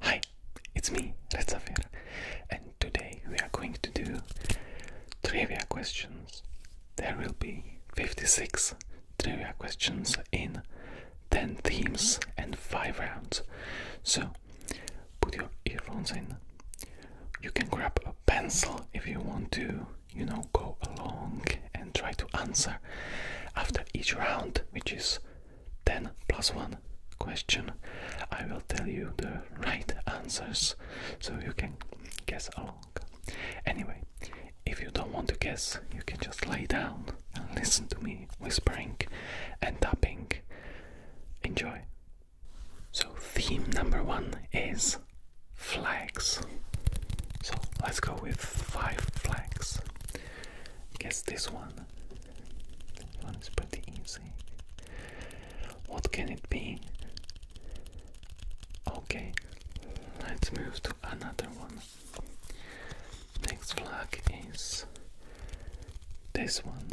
Hi, it's me, Rezafir, and today we are going to do trivia questions. There will be 56 trivia questions in 10 themes and 5 rounds. So, put your earphones in. You can grab a pencil if you want to, you know, go along and try to answer. After each round, which is 10 plus 1 question, I will tell you the right answers so you can guess along. Anyway, if you don't want to guess, you can just lay down and listen to me whispering and tapping. Enjoy. So, theme number one is flags. So, let's go with five flags. Guess this one. This one is pretty easy. What can it be? Okay, let's move to another one. Next flag is this one.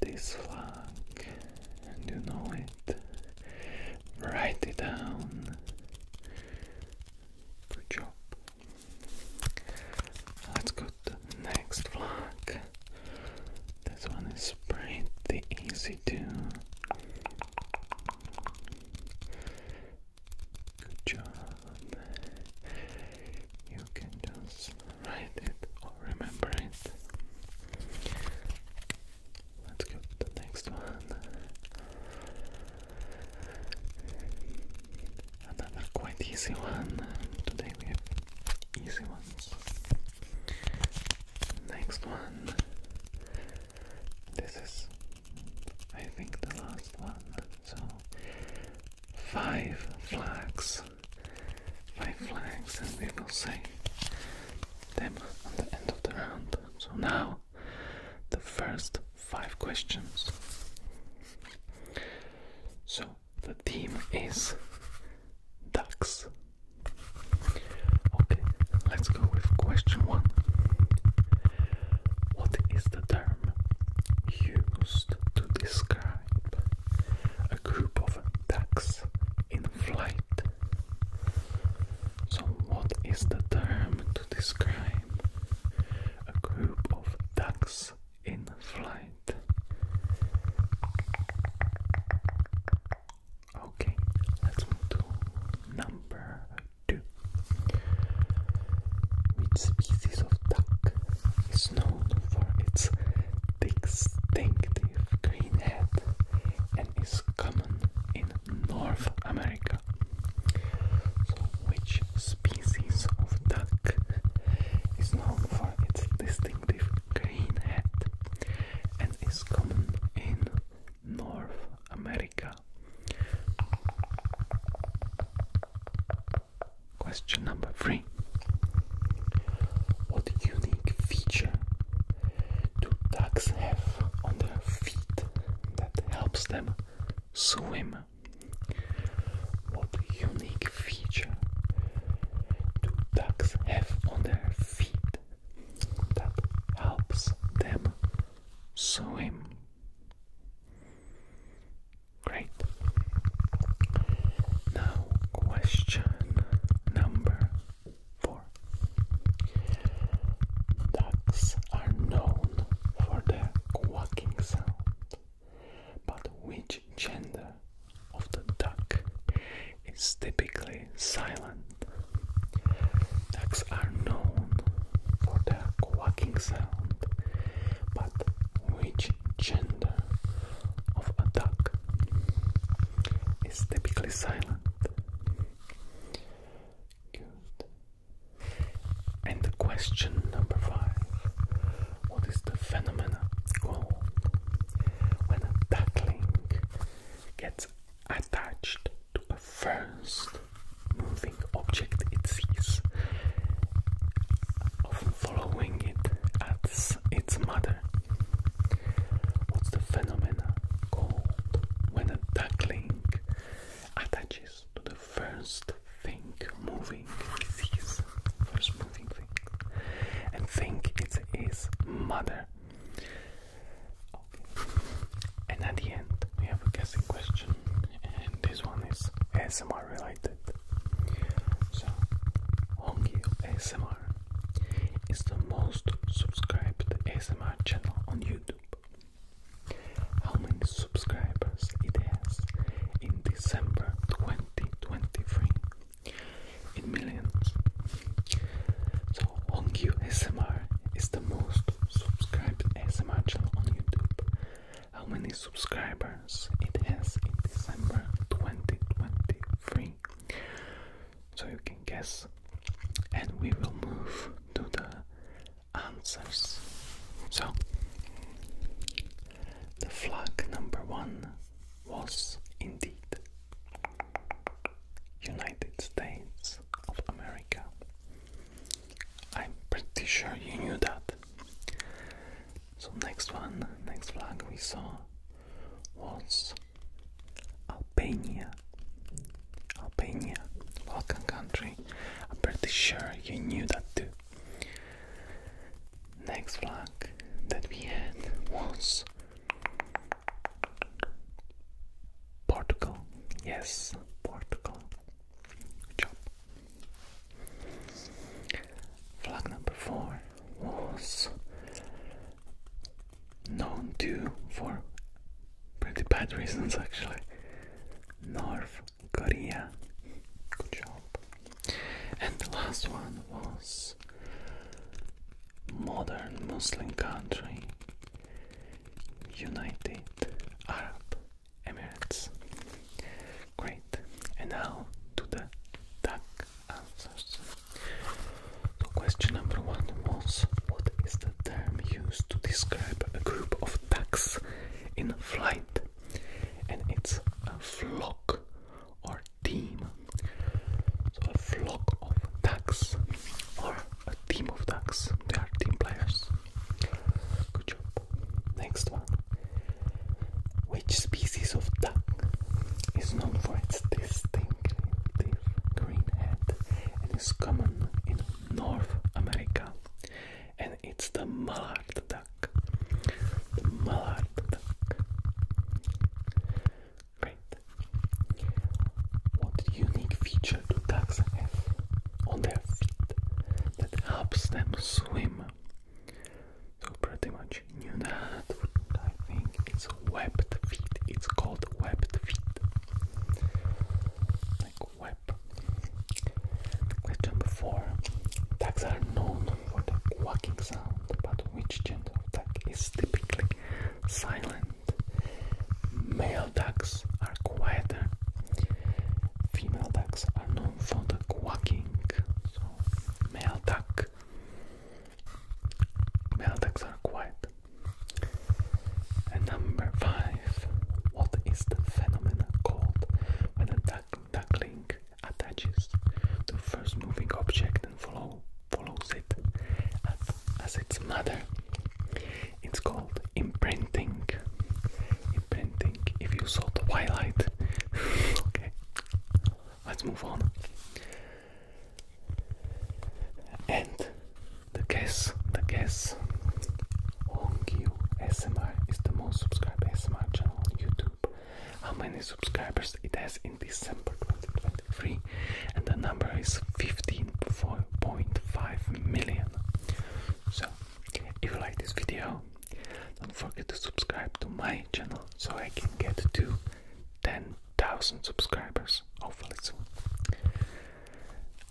This flag, and you know it. Write it down. Good job. Let's go to the next vlog. This one is pretty easy to. Good job. You can just write it or remember it. Let's go to the next one. Another quite easy one. Today we have easy ones. Next one. This is, I think, the last one. So, five flags. Five flags, and we will say them on the end of the round. So now, the first five questions. So the theme is ducks. Okay, let's go with question one. What is the term used to describe a group of ducks in flight? So, what is the term to describe a group of ducks in flight. Okay, let's move to number two. Which species of duck is known for its distinctive green head and is common in North America? which species of duck is known for its distinctive green head and is common in North America? Question number three. What unique feature do ducks have on their feet that helps them swim? What unique feature do ducks have on their feet that helps them swim? Great. Now, question number four. Ducks are known for their quacking sound. But which gender of the duck is typically silent? Ducks are known for their quacking sound, but which gender of a duck is typically silent? Good. And the question number five What is the phenomena called when a duckling gets attached to a first moving object it sees, often following it as its mother? What's the phenomena called when a duckling attaches to the first thing moving disease. First moving thing. And think it's mother. Okay. And at the end we have a guessing question. And this one is ASMR related. So Hongil ASMR is the most subscribed ASMR channel on YouTube. How many subscribers it has in December 2023? In millions. So Hongyu SMR is the most subscribed SMR channel on YouTube. How many subscribers it has in December 2023? So you can guess. And we will move to the answers. So, the flag number one was indeed United States of America. I'm pretty sure you knew that. So, next one, next flag we saw was Albania. Albania, Balkan country. I'm pretty sure you knew that too. Next vlog that we had was Portugal. Yes, Portugal. job. Flag number four was known to for pretty bad reasons actually. North Korea. Good job. And the last one was modern Muslim country, United Arab Emirates. Great. And now to the duck answers. So question number one was what is the term used to describe a group of ducks in flight? and it's a flock or team. So a flock of ducks or a team of ducks. They are team players. Good job. Next one. Which species of duck is known for its distinctive green head and is common in North America? and it's the mallard duck. The mallard duck. Great. What unique feature do ducks have on their feet that helps them swim? So pretty much you know that. I think it's webbed feet. It's called webbed feet. Like web type. Question four: Ducks are known for the quacking sound, but which gender of duck is typically silent? Male ducks are quieter. Female ducks are known for the quacking. So, male duck. Male ducks are quiet. And number five. What is the phenomenon called when a duck? The that attaches to first moving object and follow, follows it as, as its mother. It's called imprinting. Imprinting. If you saw Twilight, okay. Let's move on. And the guess, the guess Hongyu SMR is the most subscribed SMR channel on YouTube. How many subscribers it has in December 2023? And the number is 15.5 million. So, if you like this video, don't forget to subscribe to my channel so I can get to 10,000 subscribers hopefully soon.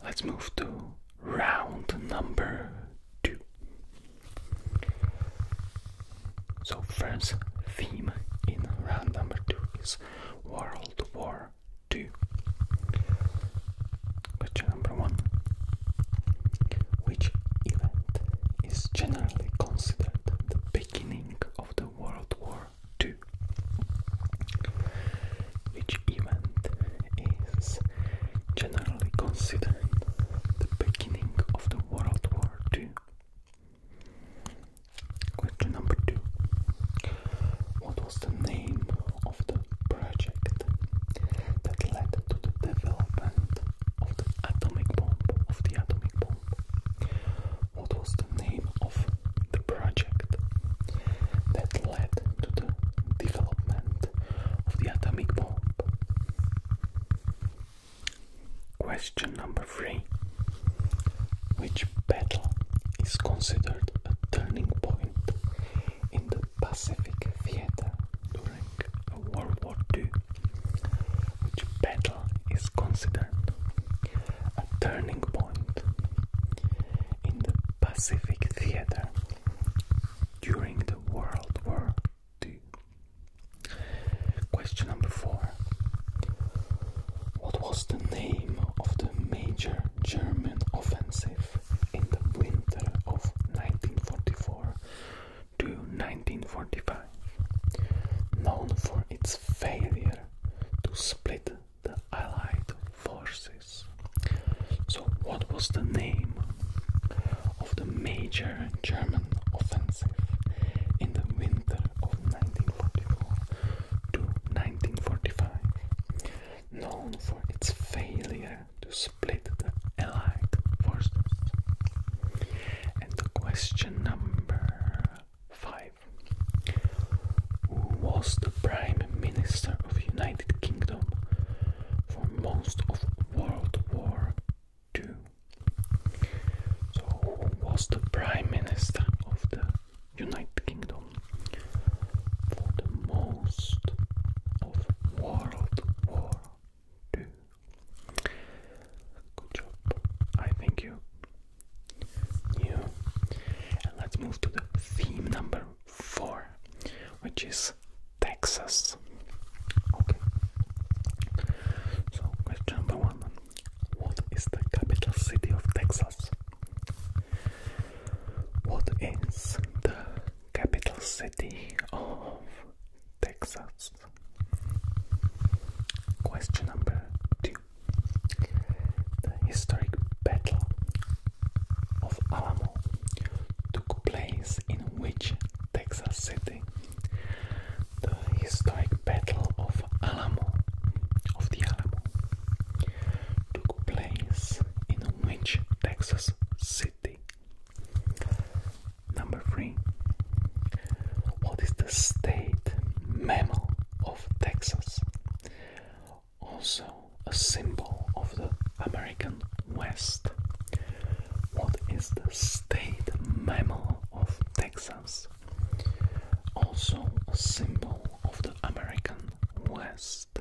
Let's move to round number two. So, first theme in round number two is World War Two. Question number one Which event is generally considered the beginning of the World War Two? Which event is generally considered the beginning of the World War II. Question number two. What was the name of the project that led to the development of the atomic bomb? Of the atomic bomb? What was the name of the project that led to the development of the atomic bomb? Question number three Which battle is considered a turning point in the Pacific Theater during World War II? Which battle is considered a turning point in the Pacific Theater during the World War II. Question number four What was the name of the major German offensive in the winter of 1944 to 1945? Known for its failure to split the Allied forces. So, what was the name of the major German offensive in the winter of 1944 to 1945, known for its failure to split the Allied forces. And the question number five Who was the Prime Minister of United? Kingdom for most of World War II. So, who was the Prime Minister of the United Kingdom for the most of World War II? Good job, I think you knew. And let's move to the theme number four, which is Texas. Okay. So, question number one What is the capital city of Texas? What is the capital city of Texas? Question number two The historic battle of Alamo took place in which Texas City, the historic Battle of Alamo, of the Alamo, took place in which Texas city? Number three. What is the state mammal of Texas? Also a symbol of the American American West. What is the state mammal of Texas? Also a symbol of the American West.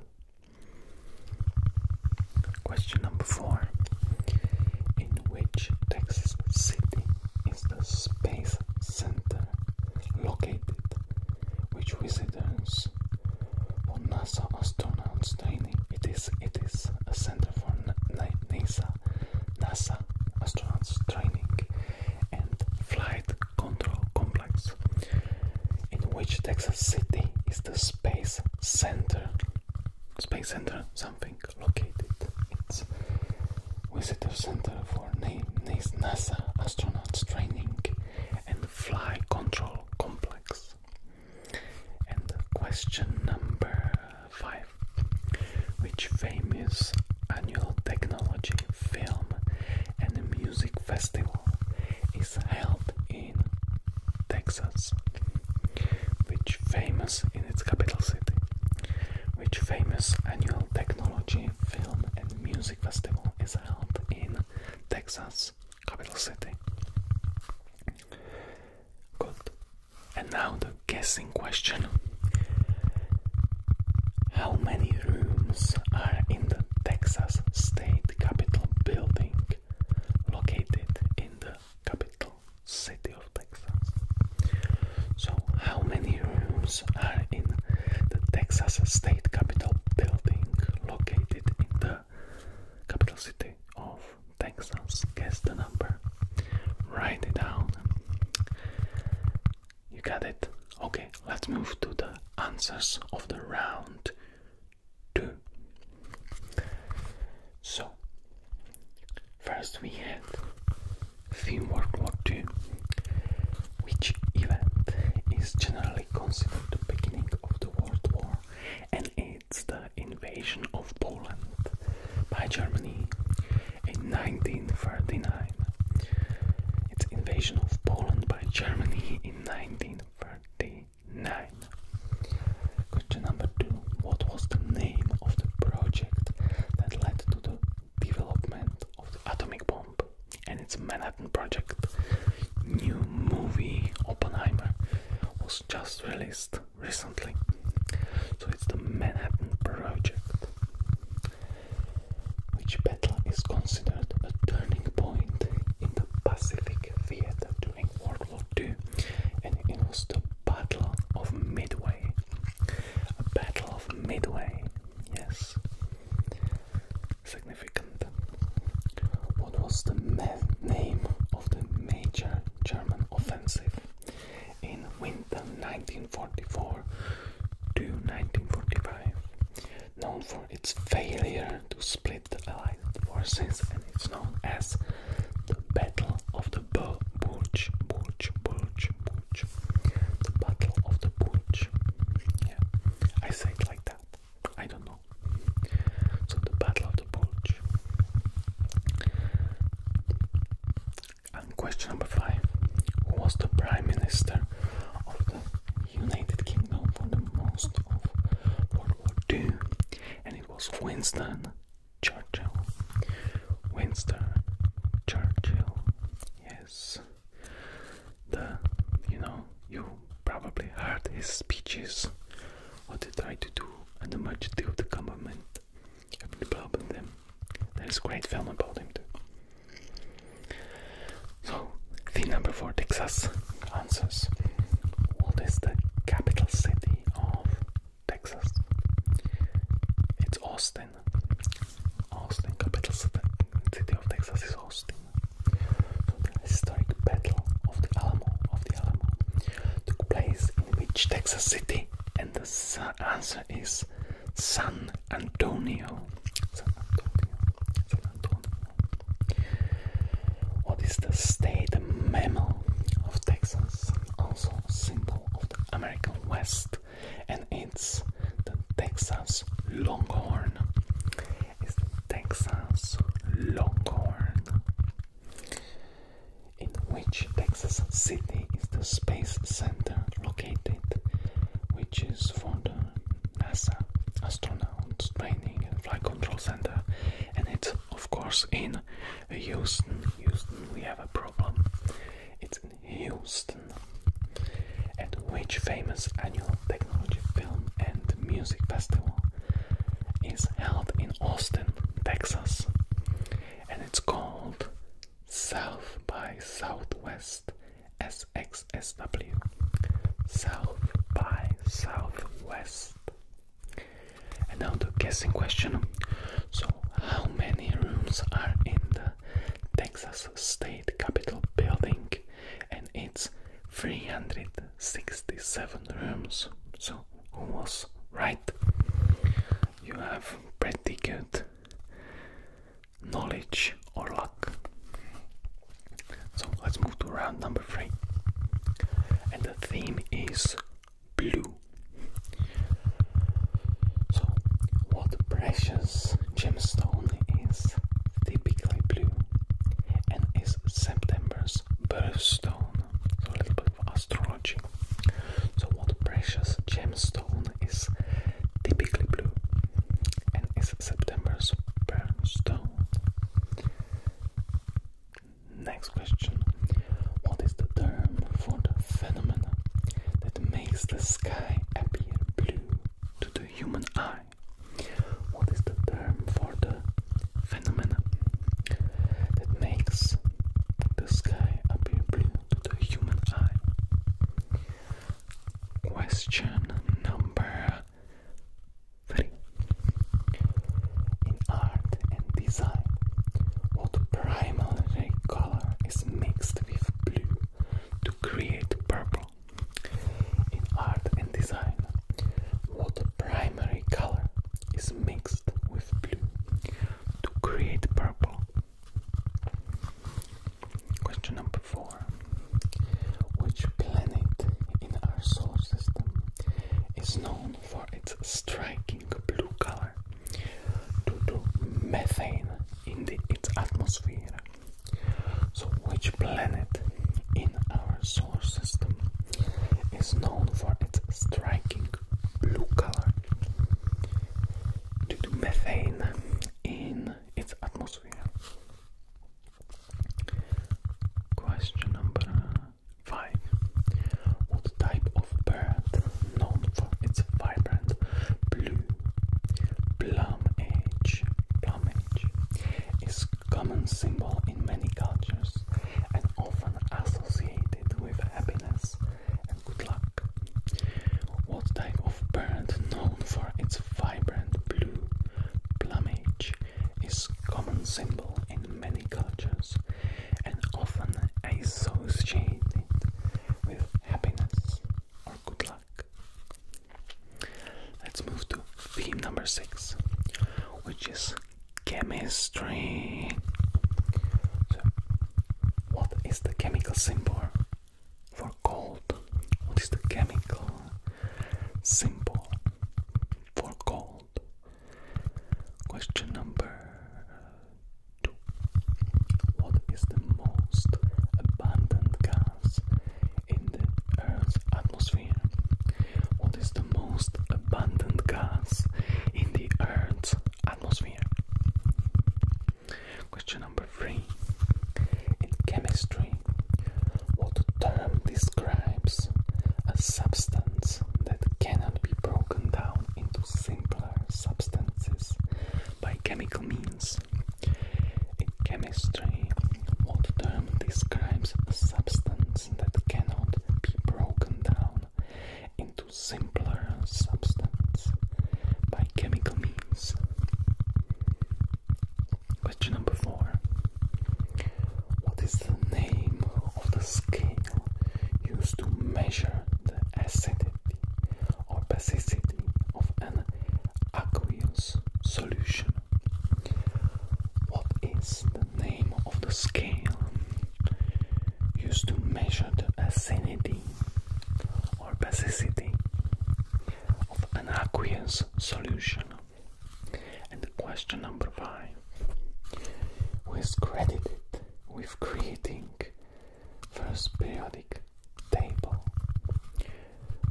Question number four. In which Texas city is the Space Center located, which visitors for NASA astronauts training? It is it is a center for NASA, NASA astronauts training and flight control complex, in which Texas City is the space center. Space center, something located. It's visitor center for NASA astronauts training and flight control complex. And question number five Which famous annual technology, film, and music festival is held in Texas? Which famous in its capital city? Which famous annual technology, film, and music festival is held in Texas? capital city. Good. And now the guessing question. How many rooms are in the Texas State Capitol building located in the capital city of Texas? So, how many rooms are in the Texas State Capitol building located in the capital city of Texas. Guess the number. Write it down. You got it? Okay, let's move to the answers of the round two. So, first we had Theme World War II, which event is generally considered the beginning of the World War and culminates the invasion of Poland by Germany in 1939. It's invasion of Poland by Germany in 1939. Question number two. What was the name of the project that led to the development of the atomic bomb and its Manhattan Project? New movie Oppenheimer was just released recently. So it's the Manhattan Project, which battle is considered a turning point in the Pacific Theater during World War II, and it was the Battle of Midway. A Battle of Midway, yes. Significant. What was the name of the major German offensive in winter 1944 to 1945, known for its failure to split the Allied forces, and it's known as the Battle of the Bulge, Bulge, Bulge, Bulge, the Battle of the Bulge. Yeah, I say it like that. I don't know. So the Battle question number five Who was the Prime Minister of the United Kingdom for the most of World War II? And it was Winston Churchill. Winston Churchill, yes. The you know, you probably heard his speeches what to try to do the much deal the government having a problem with them. There's a great film about him too. So the number four Texas answers. What is the capital city of Texas? It's Austin. Austin, capital city of Texas is Austin. the historic battle of the Alamo, of the Alamo, took place in which Texas city? And the answer is San Antonio. San Antonio. What is the state mammal of Texas? Also a symbol of the American West, and it's the Texas Longhorn. It's Texas Longhorn in which Texas City is the space center located, which is for the NASA astronauts training and flight control center, and it's of course in Houston. Houston, we have a problem. It's in Houston, at which famous annual technology film and music festival is held in Austin, Texas, and it's called South by Southwest SXSW. South by Southwest. And now the guessing question. So, how many rooms are in the Texas State Capitol building? And it's 367 rooms. So, who was right. You have pretty good knowledge or luck. So let's move to round number three. And the theme is blue. So, what precious gemstone is typically blue and is September's birthstone? So, a little bit of astrology. So, what precious gemstone is typically blue and is September's birthstone? Next question What is the term for the phenomenon that makes the sky appear blue to the human eye? What is the term for the phenomena that makes the sky appear blue to the human eye. Question number three. In art and design, what primary color is mixed with blue to create purple? In art and design, what primary color is mixed? with blue to create purple. Question number four Which planet in our solar system is known for its striking blue color due to methane in its atmosphere? So, which planet in our solar system is known for its striking blue color due to methane in its atmosphere. Question number five. What type of bird known for its vibrant blue plumage, plumage is common symbol in many cultures and often associated with happiness? and good luck. What type of bird, known for its vibrant blue plumage, is common symbol in many cultures and often associated with happiness or good luck. Let's move to theme number six, which is chemistry. So, what is the chemical symbol for gold? What is the chemical symbol for gold? Question number two. What is the most abundant gas in the Earth's atmosphere? What is the most abundant gas in the Earth's atmosphere. Question number three. In chemistry, what term describes a substance that cannot be broken down into simpler substances by chemical means? In chemistry, what term describes a substance that cannot be broken down into into simpler substance by chemical means. Question number four What is the name of the scale used to measure the acidity or basicity of an aqueous solution? What is the name of the scale used to measure the acidity or basicity of an aqueous solution. And question number five who is credited with creating first periodic table?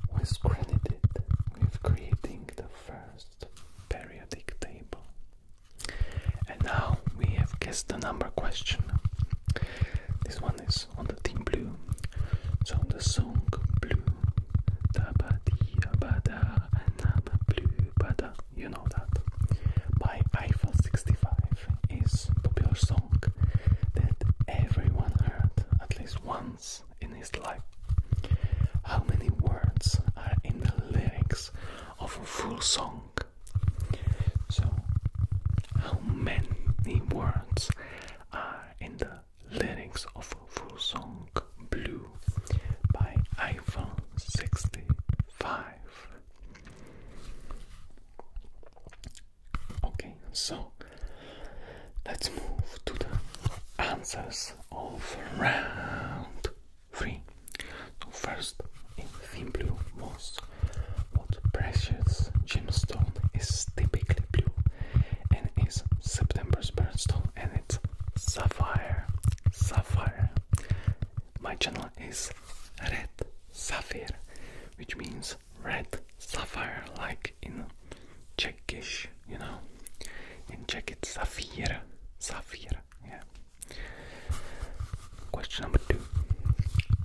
Who is credited with creating the first periodic table? And now we have guessed the number question. This one is on the team blue. So the song blue. Blue you know that. By Eiffel 65 is popular song that everyone heard at least once in his life. How many words are in the lyrics of a full song? So, how many words are in the lyrics of full song Blue by iPhone 65? Okay, so let's move to the answers of round Three. So first, in thin blue most what precious gemstone is typically blue and it's September's birthstone and it's sapphire. Sapphire. My channel is red sapphire, which means red sapphire, like in Czechish, you know. In Czech it's sapphire. Sapphire, yeah. Question number two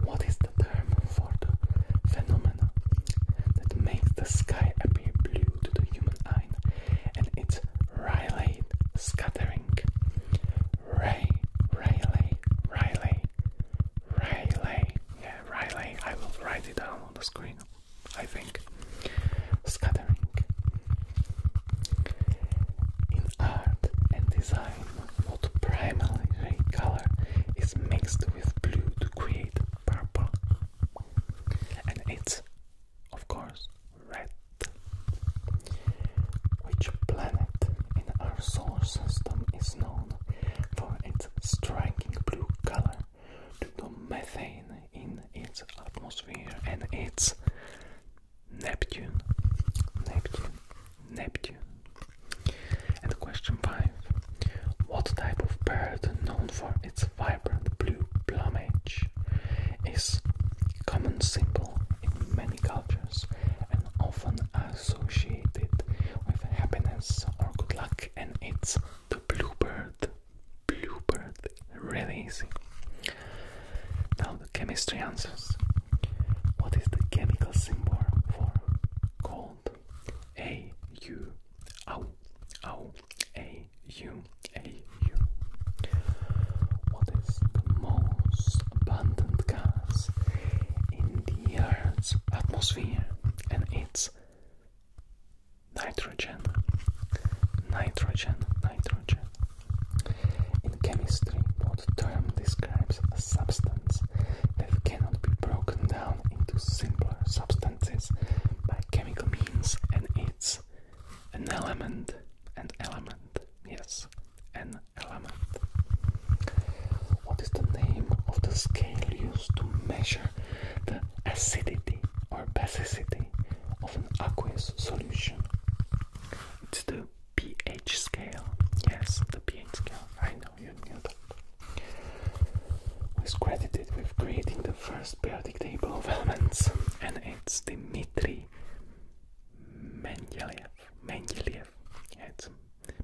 What is the term for the phenomenon that makes the sky appear blue to the human eye? And it's Rayleigh scattering. Ray, Rayleigh, Rayleigh, Rayleigh. Yeah, Rayleigh. I will write it down on the screen, I think. Scattering. In art and design what primary color is mixed with blue to create purple, and it's, of course, red. Which planet in our solar system is known for its striking blue color due to methane in its atmosphere and its Neptune, Neptune, Neptune. And question five: What type of bird, known for its vibrant blue plumage, is common symbol in many cultures and often associated with happiness or good luck? And it's the bluebird. Bluebird, really easy. Now chemistry answers. What is the chemical symbol for cold? A U O O A U A U. What is the most abundant gas in the Earth's atmosphere? And it's nitrogen. Nitrogen, nitrogen, in chemistry, what term describes a substance that cannot be broken down into simpler substances by chemical means and it's an element, an element, yes, an element. What is the name of the scale used to measure the acidity or basicity of an aqueous solution? It's the pH scale. Yes, the pH scale. I know you knew that. Was credited with creating the first periodic table of elements? And it's Dmitri Mendeleev. Mendeleev. it's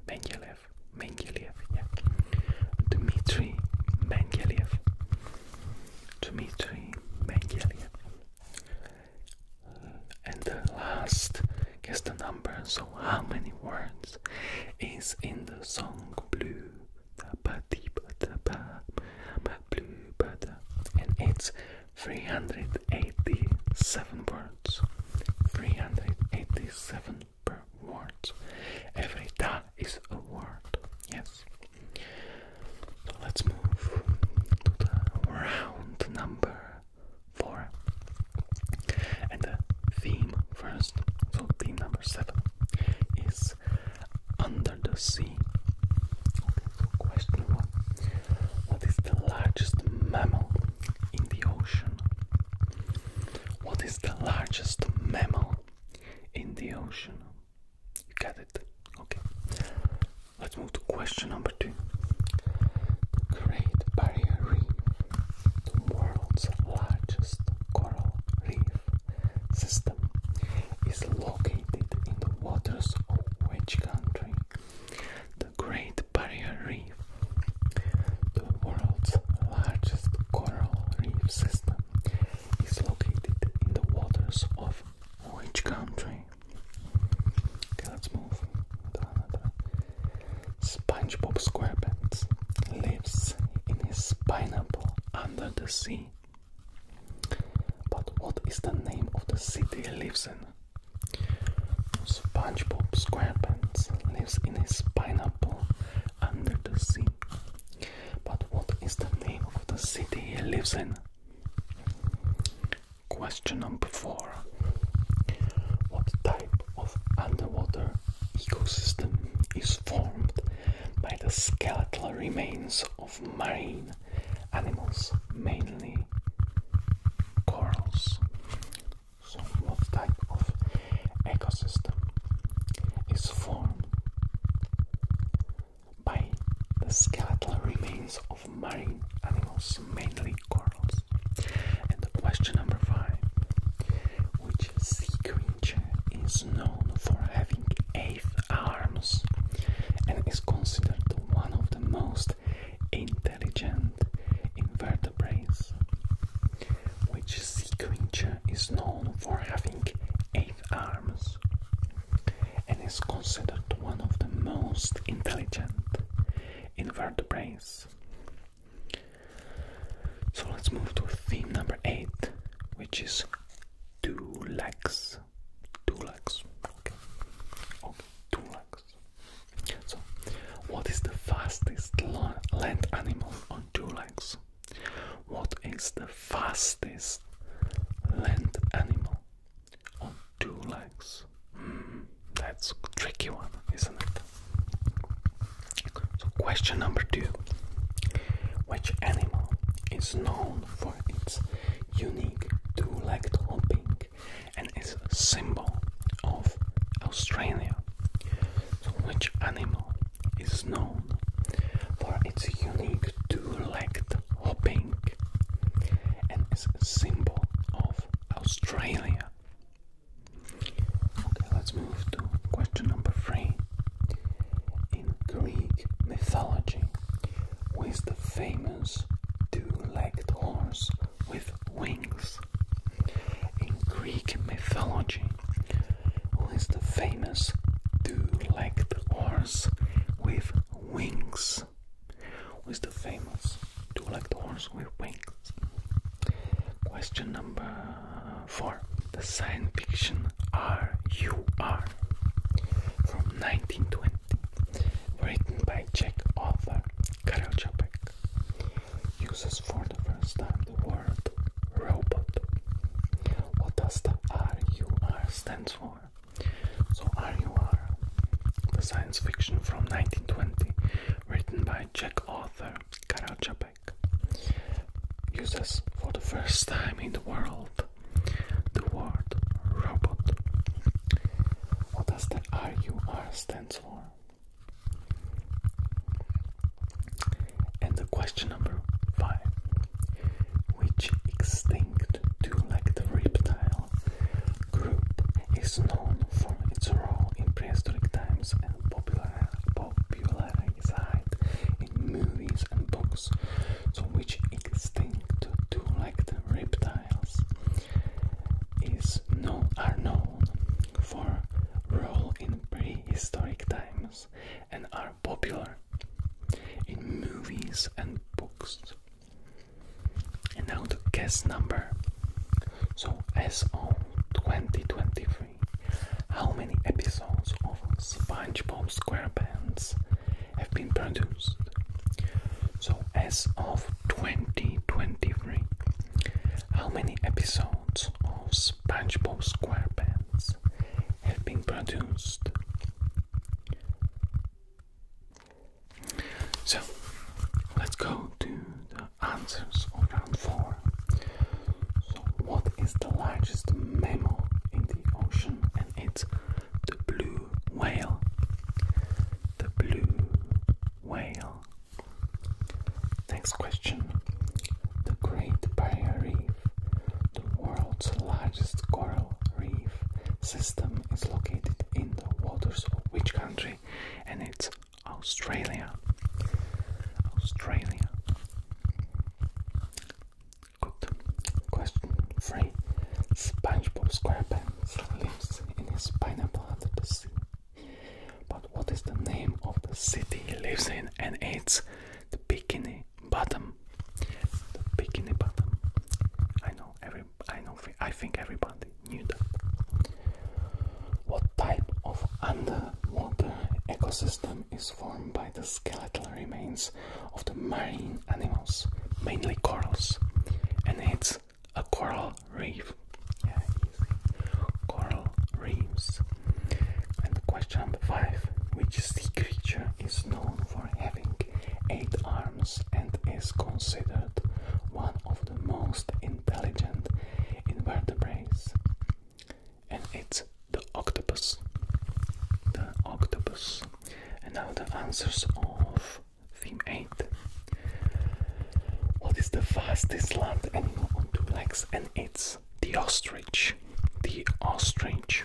Mendeleev. Mendeleev. Yeah. Dmitri Mendeleev. Dmitri Mendeleev. And the last, guess the number. So, how many words is in the song Blue? And it's 387 words. 387 per word. Every da is a word. Yes. So let's move to the round number 4. And the theme first, so theme number 7 is Under the Sea. question 1. What is the largest mammal in the ocean? What is the largest mammal in the ocean? You got it? Okay. Let's move to question number two. The Great Barrier Reef, the world's largest coral reef system, is located in the waters of which country? The Great Barrier Reef, the world's largest coral reef system, is located in the waters of which country? Okay, let's move. SpongeBob SquarePants lives in his pineapple under the sea. But what is the name of the city he lives in? SpongeBob SquarePants lives in his pineapple under the sea. But what is the name of the city he lives in? Question number four What type of underwater ecosystem is formed by the skeletal remains of marine animals, mainly corals? So, what type of ecosystem is formed by the skeletal remains of marine animals, mainly corals. And the question number five Which sea creature is known for having eight arms and is considered one of the most intelligent invertebrates? Which sea creature is known for having eight arms and is considered one of the most intelligent invertebrates. So let's move to theme number eight, which is two legs. Two legs. Okay. Okay. Two legs. So, what is the fastest land animal on two legs? What is the fastest land animal on two legs. Hmm, that's a tricky one, isn't it? So, question number two Which animal is known for its unique two legged hopping and is symbol of Australia? So, which animal is known for its unique two legged hopping and is symbol of Australia? Okay, let's move to question number three. In Greek mythology, who is the famous two-legged horse with wings? In Greek mythology, who is the famous two-legged horse with wings? Wings the famous two-legged horse with wings. Question number four. The science fiction R.U.R. from 1920, written by Czech author Karel Čapek, uses for the first time the word robot. What does the R.U.R. stand for? So R.U.R. the science fiction from 1920 written by Czech author Karol Čapek, uses for the first time in the world the word robot. What does the RUR stands for? And the question number five. Which extinct two-legged reptile group is known for its role in prehistoric times and popular, popularized in movies and books, which extinct two-legged reptiles is known, are known for role in prehistoric times and are popular in movies and books. And now the guess number. So, as of 2023, how many episodes of SpongeBob SquarePants have been produced? So, as of 2023, how many episodes of SpongeBob SquarePants have been produced? So let's go to the answers of round four. So, what is the largest mammal in the ocean? And it's the blue whale. The blue whale. Next question. The Great Barrier Reef, the world's largest coral reef system, is located in the waters of which country? And it's Australia. Australia. Good. Question three. SpongeBob SquarePants lives in a pineapple under the sea. But what is the name of the city he lives in? And it's the Bikini Bottom. The Bikini Bottom. I know everyone I know I think everybody knew that. What type of underwater ecosystem is formed by the skeletal remains of the marine animals, mainly corals, and it's a coral reef. Yeah, easy. Coral reefs. And question five: Which sea creature is known for having eight arms and is considered one of the most intelligent invertebrates, and it's the octopus. The octopus. And now the answers of theme 8. What is the fastest land animal on two legs? And it's the ostrich. The ostrich.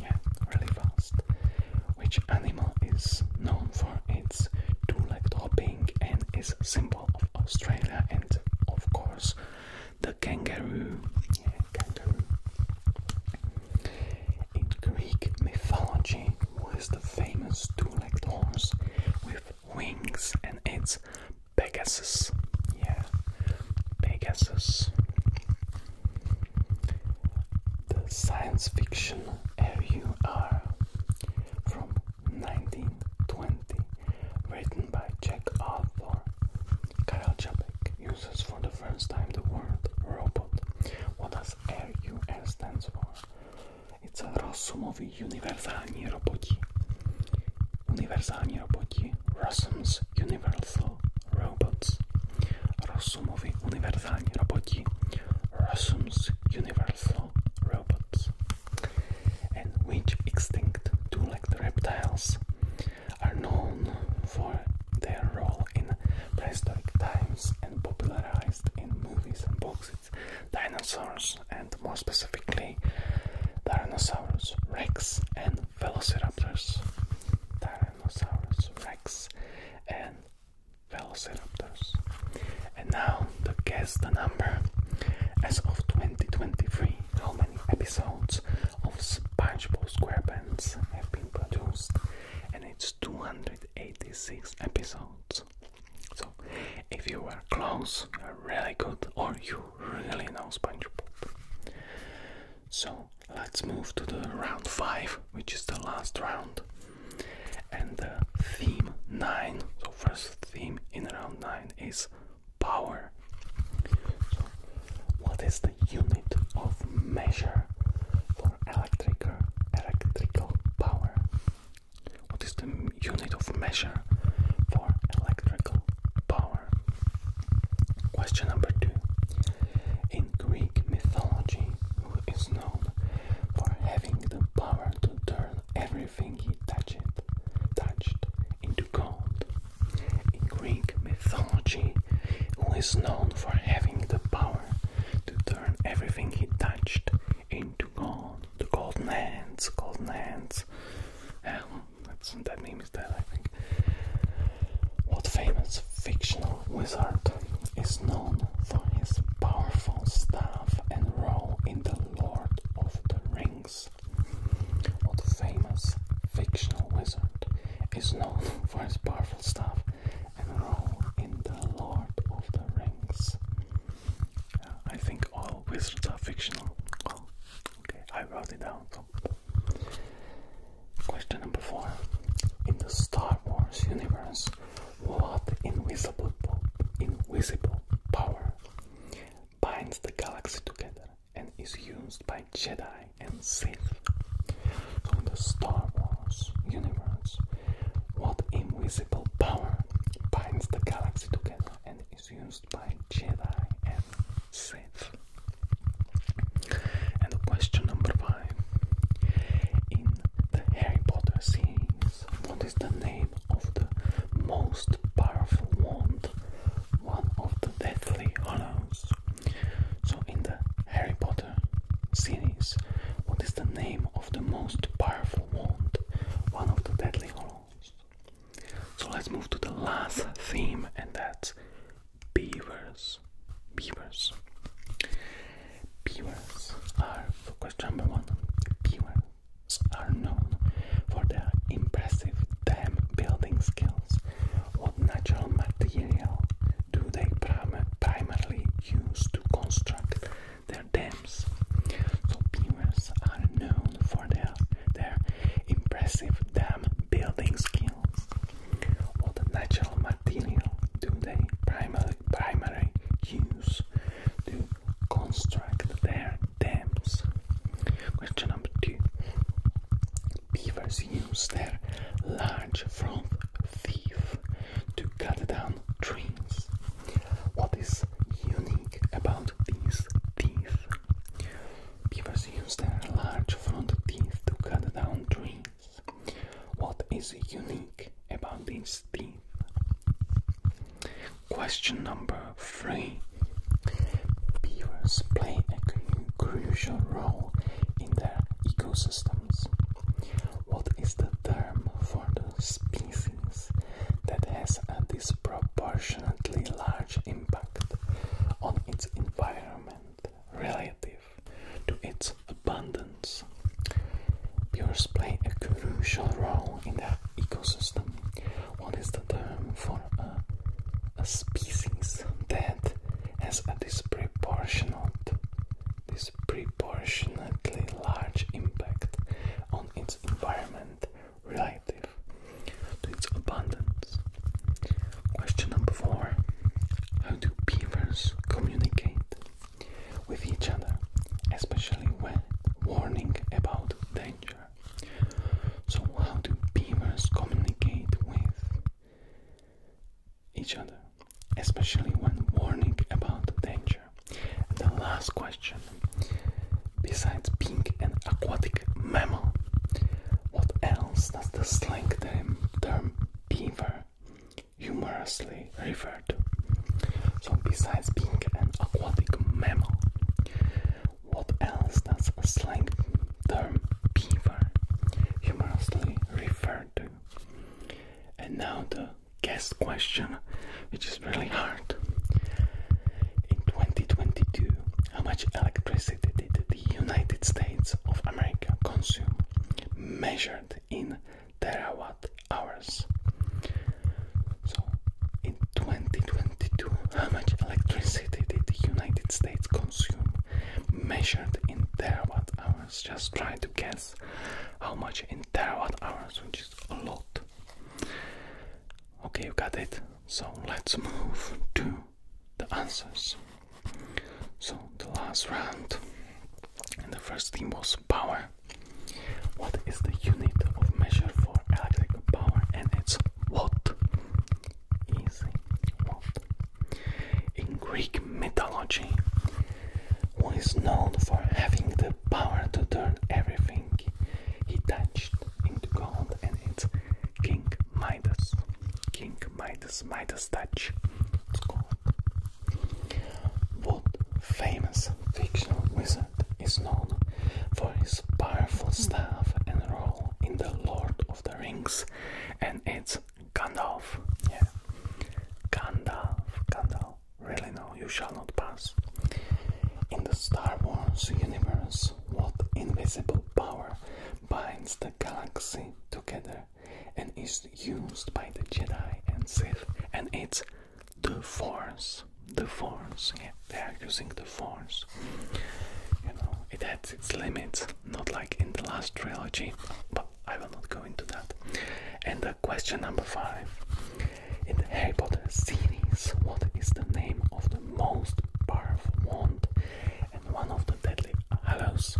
Yeah, really fast. Which animal is known for its two legged hopping? and is a symbol of Australia and of course the kangaroo. kangaroo. In Greek mythology was the famous two-legged horse with wings and it's Pegasus. Yeah, Pegasus. The science fiction R.U.R. from 1920, written by Czech author Karel Čapek, uses for the first time the word robot. What does R.U.R. stands for? It's a rozumoví univerzální roboti. Univerzální roboti. Rozums universal robots. Rozumoví univerzální roboti. Rozums universal robots and which extinct two-legged reptiles are known for their role in prehistoric times and popularized in movies and books. It's dinosaurs, and more specifically, dinosaurs, rex and Velociraptors. Tyrannosaurus rex and Velociraptors. And now to guess the number. As of 2023, how many episodes of SpongeBob SquarePants have been produced? And it's 286 episodes. So, if you were close, really good, or you really know SpongeBob. So, let's move to the round 5, which is the last round. And the theme 9, so first theme in round 9 is power. what is the unit of measure for electric electrical power? What is the unit of measure for electrical power? Question number 2. In Greek mythology, who is known for having the power to turn everything everything he touched, touched into gold. In Greek mythology, who is known for having the power to turn everything he touched into gold. The golden hands, golden hands. Yeah, um, well, that's, that name is that, I think. What famous fictional wizard is known for his powerful staff and role in the Lord of the Rings, or famous fictional wizard, is known for his powerful staff and role in the Lord of the Rings. I think all wizards are fictional. okay, I wrote it down. Question number four. In the Star Wars universe, what invisible, invisible power binds the galaxy together and is used by Jedi and Sith? So in the Star Wars universe, what invisible power binds the galaxy together and is used by Jedi and Sith? And question number five. In the Harry Potter scene. What is the name of the most powerful wand? One of the Deathly Hollows. So, in the Harry Potter series, what is the name of the most powerful wand? One of the deadly Hollows. So, let's move to the last theme, and that's beavers. Beavers. Beavers are for question number one. Beavers are known for their impressive dam building skills. What natural material do they prim primarily use to construct their dams? So beavers are known for their their impressive dam building skills. What natural material do they primarily primarily use to construct their dams. Question number two. Beavers use their large front teeth to cut down trees. What is unique about these teeth? Beavers use their large front teeth to cut down trees. What is unique about these Question number three. Beavers play a crucial role in their ecosystems. What is the term for the species that has a disproportionately large impact on its environment relative to its abundance? Beavers play a crucial role in the ecosystem. What is the term for uh, a, species that has a disproportionate, disproportionately large impact on its environment relative to its abundance? Question number four How do beavers communicate with each other, especially when warning about danger. So, how do beavers communicate with each other, especially when warning about danger? the last question besides being an aquatic mammal, what else does the slang term beaver humorously refer to? So besides being an aquatic mammal, what else does a slang term beaver humorously refer to? And now the guest question, which is really hard. In 2022, how much electricity did the United States of America consume, measured in terawatt hours. So, in 2022, how much electricity did the United States consume? Measured in terawatt hours. Just try to guess how much in terawatt hours, which is a lot. Okay, you got it. So, let's move to the answers. So, the last round, and the first team was power. What is the unit of measure for electric power? And it's watt. Easy, watt. In Greek mythology, who is known for having the power to turn everything he touched into gold? And it's King Midas. King Midas, Midas touch. It's What famous fictional wizard is known for his powerful staff and role in The Lord of the Rings, and it's Gandalf. Yeah, Gandalf, Gandalf. Really, no, you shall not pass. In the Star Wars universe, what invisible power binds the galaxy together and is used by the Jedi and Sith? And it's the force, the force. Yeah, they are using the force. You know, it has its limits, not like in the last trilogy, but I will not go into that. And the question number five in the Harry Potter series, what is the name of the most powerful wand and one of the deadly hallows?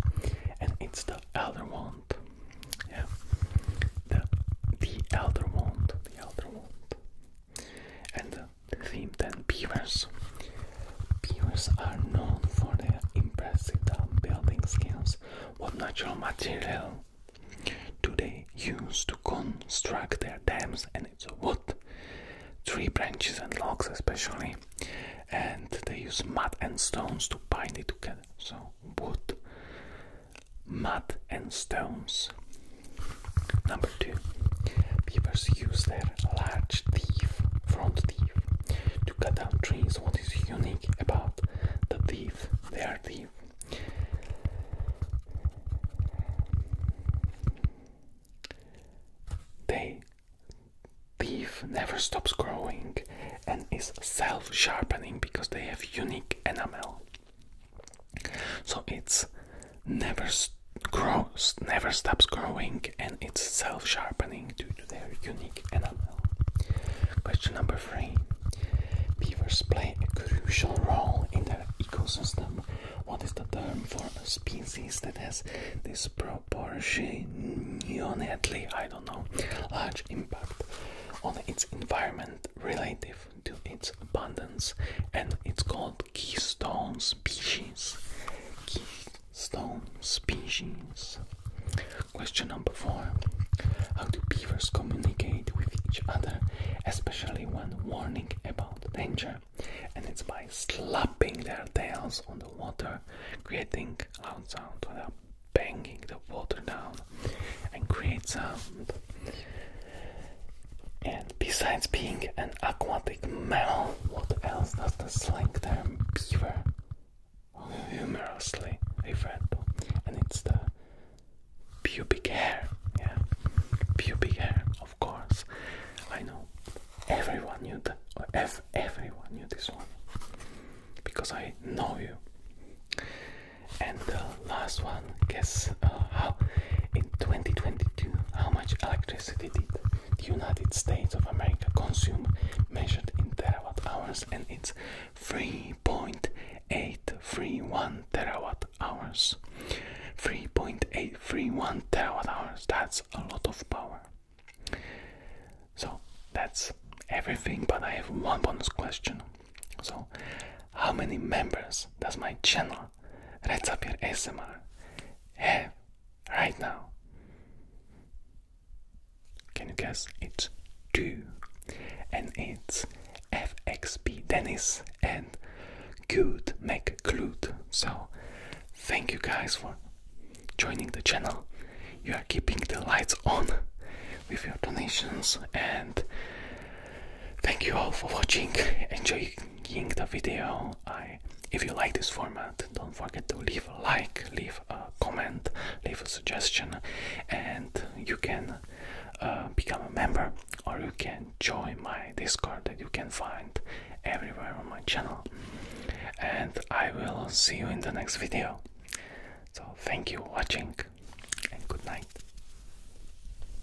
And it's the Elder Wand. Yeah, the the Elder Wand, the Elder Wand. And the theme then beavers. Beavers are known for their impressive building skills. What natural material do they use to construct their dams? And it's wood, tree branches and logs especially. And they use mud and stones to bind it together. So wood mud and stones. Number two, beavers use their large teeth, front teeth, to cut down trees. What is unique about the teeth, their teeth? They teeth never stops growing and is self-sharpening because they have unique enamel. So it's never grows, never stops growing, and it's self-sharpening due to their unique enamel. Question number three: Beavers play a crucial role in their ecosystem. What is the term for a species that has disproportionately, I don't know, large impact on its environment relative to its abundance, and it's called keystone species. Keystone species. Question number four How do beavers communicate with each other, especially when warning about danger? And it's by slapping their tails on the water, creating loud sound without banging the water down and create sound. And besides being an aquatic mammal, what else does the slang term beaver humorously a to? And it's the pubic hair. Yeah, pubic hair, of course. I know everyone knew that. Ev everyone knew this one because I know you. And uh, last one. Guess uh, how in 2022 how much electricity did the United States of America consume, measured in terawatt hours, and it's 3.831 terawatt hours. 3.831 terawatt hours. That's a lot of power. So that's everything, but I have one bonus question. So, how many members does my channel now. up your SMR. Have right now. Can you guess? it? two. And it's FXP Dennis and Good McClude. So thank you guys for joining the channel. You are keeping the lights on with your donations and thank you all for watching. Enjoy beginning the video, if you like this format, don't forget to leave a like, leave a comment, leave a suggestion, and you can uh, become a member or you can join my Discord that you can find everywhere on my channel. And I will see you in the next video. So thank you for watching and good night.